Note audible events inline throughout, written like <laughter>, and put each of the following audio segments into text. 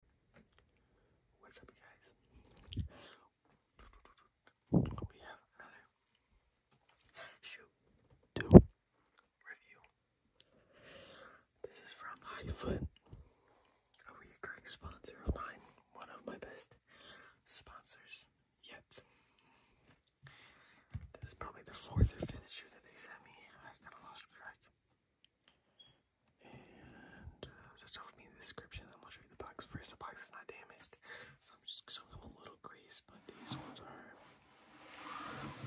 We have another shoot review. This is from Highfoot, a recurring sponsor of mine, one of my best sponsors yet. This is probably the fourth or fifth shoe that they sent me. And uh, just over me the description. I'm gonna show you the box first. The box is not damaged, so I'm just showing them a little grease. But these ones are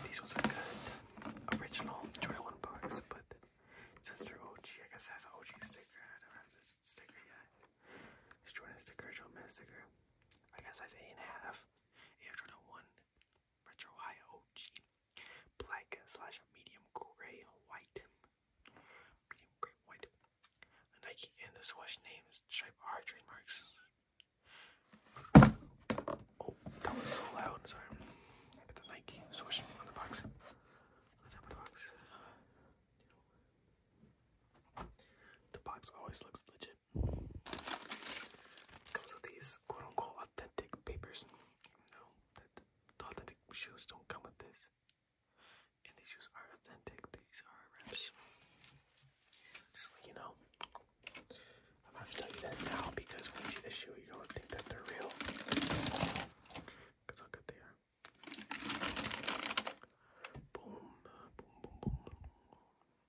these ones are good. Original 21 box, but since they're OG, I guess it has OG sticker. I don't have this sticker yet. It's Jordan sticker, Jordan Man sticker. I guess size eight and a half. Air Jordan retro high OG, black slash medium gray white, medium gray white. Nike and the Swatch names stripe are trademarks. Oh, that was so loud! I'm sorry. Got the Nike Swatch on the box. On the top the box. The box always looks legit. Comes with these quote unquote authentic papers. No, that the shoes don't come with this. And these shoes are authentic. These are reps. Just you know. I'm gonna tell you that now because when you see the shoe, you don't think that they're real. Cause how good they are. Boom, boom, boom, boom. Do you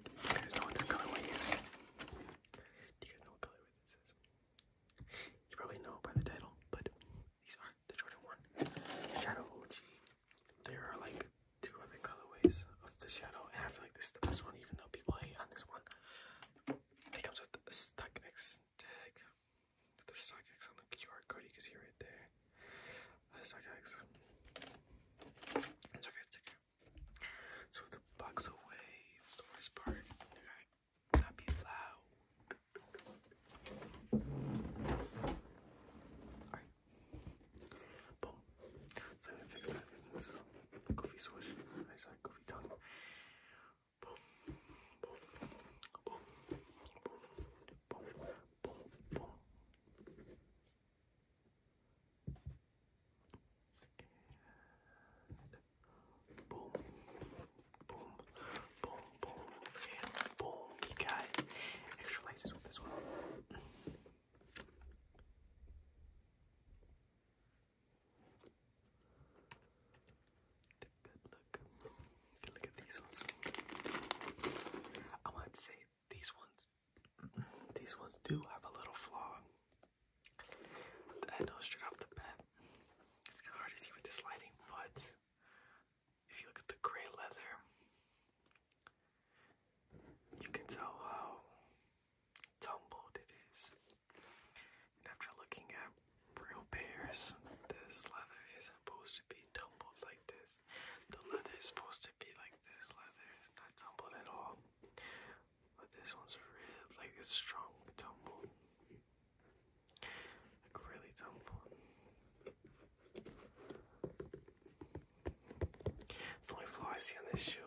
guys know what this colorway is? Do you guys know what colorway this is? You probably know by the title, but these are the 1 Shadow OG. There are like two other colorways of the Shadow, and I feel like this is the best one, even though people hate on this one. It comes with a stock tag, the stock on the QR code. You can see right there. I suck eggs. It's okay, it's okay. So the bugs away, it's the worst part. Okay, not be loud. Alright. Boom. So I'm gonna fix that in this goofy swish. I saw goofy tongue. Boom. Boom. Boom. Boom. Boom. Boom boom, boom, boom, boom, boom, boom. You extra laces with this one. Take that look. You can look at these ones. I might say these ones. <clears throat> These ones do have a little flaw. I know straight off the bat. It's kind of hard to see with this lighting, but if you look at the gray leather, you can tell how tumbled it is. And after looking at real pairs, this leather is supposed to be be tumbled like this. The leather is supposed to be like this leather, not tumbled at all. But this one's real, like it's strong tumbled. Like really tumbled. It's the only flaw I see on this shoe.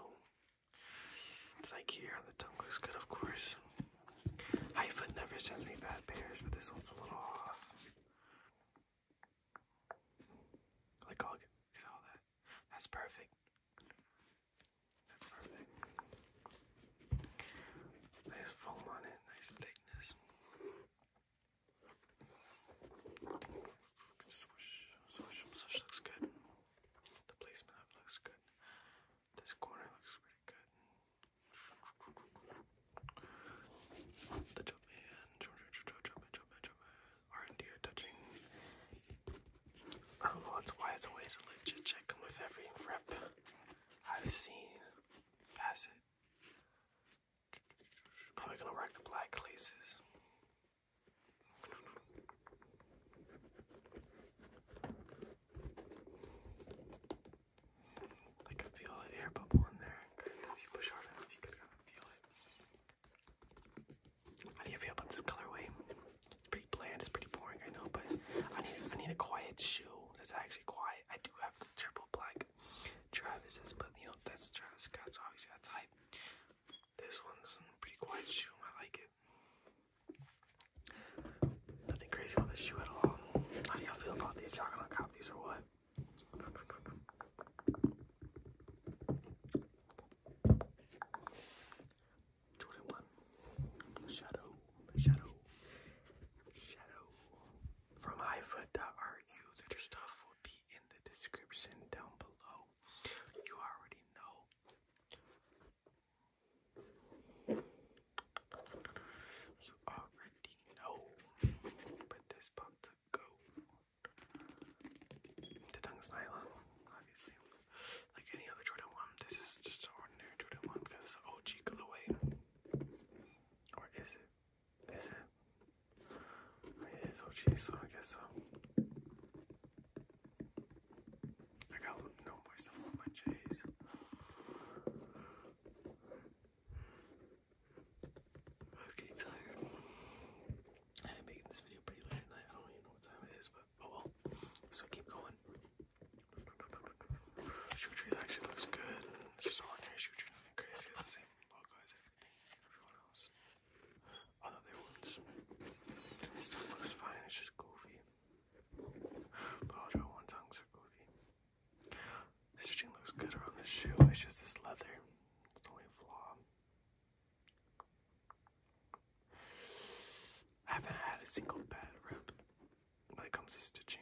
The Nike on the tongue looks good, of course. High foot never sends me bad pairs, but this one's a little off. Click oh, all, all that. That's perfect. That's perfect. Nice foam on it, nice thickness. Swoosh, swoosh, swoosh looks good. The placement of it looks good. This corner looks pretty good. The Jumpman, Jumpman, Jumpman are and D are touching. Oh, that's why it's a way to legit check with every rep I've seen. Facet. Probably gonna rock the black laces. I can feel an air bubble in there. How do you feel about this colorway? It's pretty bland. It's pretty boring, I know, but I need I need a quiet shoe that's actually quiet. I do have the triple black Travis's, but you know that's Travis Scott's. obviously, that's hype. This one's a pretty quiet shoe. I like it. Nothing crazy on this shoe at all. How do y'all feel about these? Y'all cop these or what? Jordan shadow, shadow, shadow. From highfoot.ru, their stuff will be in the description down below. You already know. You already know, but this pop to go. The tongue's nylon, obviously. Like any other Jordan 1, this is just an ordinary Jordan 1 because it's an OG colorway. Or is it? Is it? I mean, it is OG, so I guess so. I gotta know myself my J's. I'm getting tired. I'm making this video pretty late at night. I don't even know what time it is, but oh well. So keep going. Shoot tree actually looks good. It's just ordinary shoe tree, nothing crazy. It's the same logo as everything, everyone else. Other than ones. This stuff looks fine, it's just goofy. Apologize one tongue Sarkozy. Stitching looks good around this shoe. It's just this leather. It's the only flaw. I haven't had a single bad rep when it comes to stitching.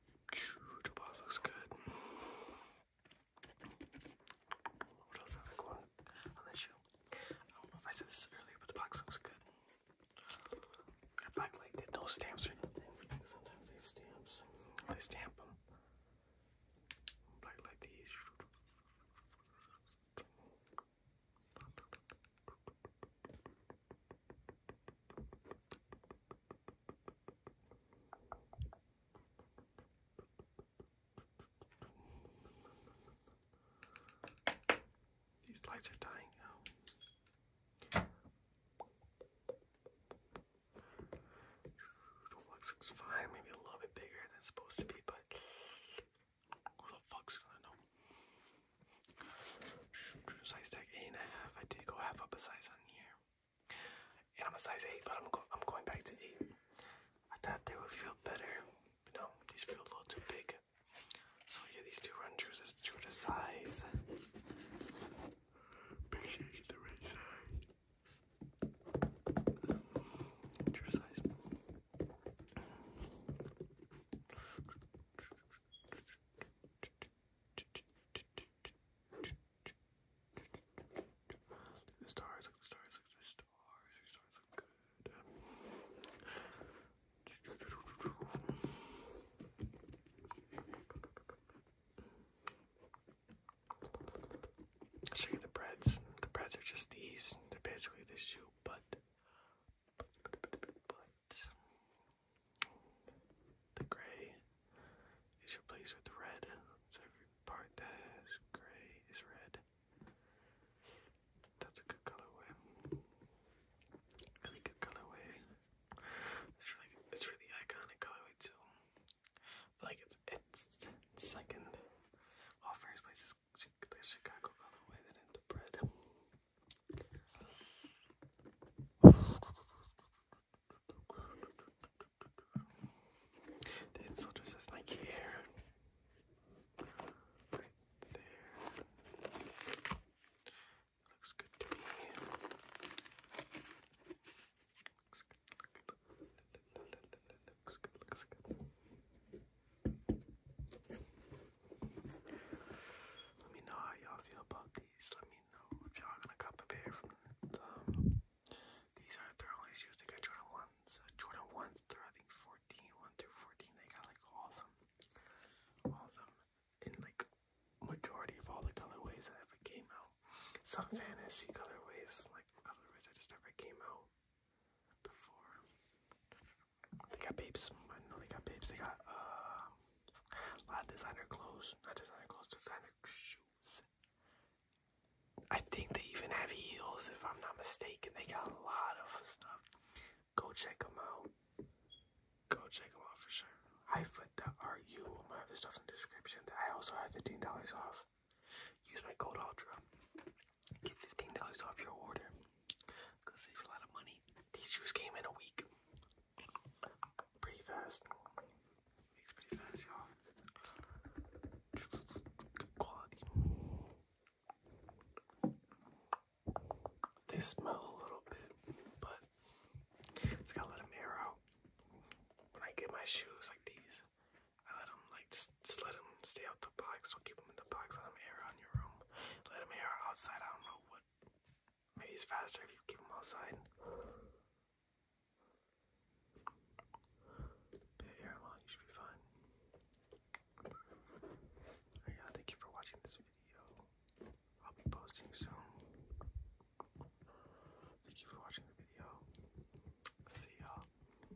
Toolbox looks good. What else have I got on this I don't know if I said this earlier, but the box looks good. Uh, I like did no stamps or anything, sometimes they have stamps. They stamp them. Black like these. These lights are dying out. looks fine, maybe a little bit bigger than supposed to be, but who the fuck's gonna know? Size tag eight and a half. I did go half up a size on here, and I'm a size eight, but I'm go I'm going back to eight. I thought they would feel better, no, these feel a little too big. So yeah, these two run true is true to size. Make sure size. <laughs> the stars, the stars, the stars. These stars look good. show you the breads. The breads are just these. They're basically the shoe, but but the gray is replaced with red. So every part that gray is red. That's a good colorway. Really good colorway. It's really, it's really iconic colorway too. Like it's it's, second. Well, first place is the Chicago colorway, then the bread. The insult says Nike here. Right there. Looks good to me. Looks good. Looks good. Looks good. Let me know how y'all feel about these. Let me know if y'all gonna cop a pair These are their only shoes. They got Jordan ones, uh, Jordan ones through I think 14, through 14. They got like all of them, all of them in like majority of all the colorways that ever came out. Some fantasy colorways, like colorways that just never came out before. They got babes. I know they got babes. They got uh, a lot of designer clothes. Not designer clothes, designer shoes. I think they even have heels, if I'm not mistaken. They got a lot of stuff. Go check them out. Go check them out for sure. HiFoot.ru. I'm gonna have this stuff in the description. I also have $15 off. Use my code ULTRA. Get fifteen dollars off your order. Cause it's a lot of money. These shoes came in a week. Pretty fast. It's pretty They smell a little bit, but it's gotta let them air out. When I get my shoes like these, I let him like just just let him stay out the box. Don't keep him in the box. Let him air on your room. Let him air outside. I don't know what. Maybe he's faster if you keep him outside. Yeah, air him out. You should be fine. yeah, thank you for watching this video. I'll be posting soon. Thank you for watching the video. See y'all.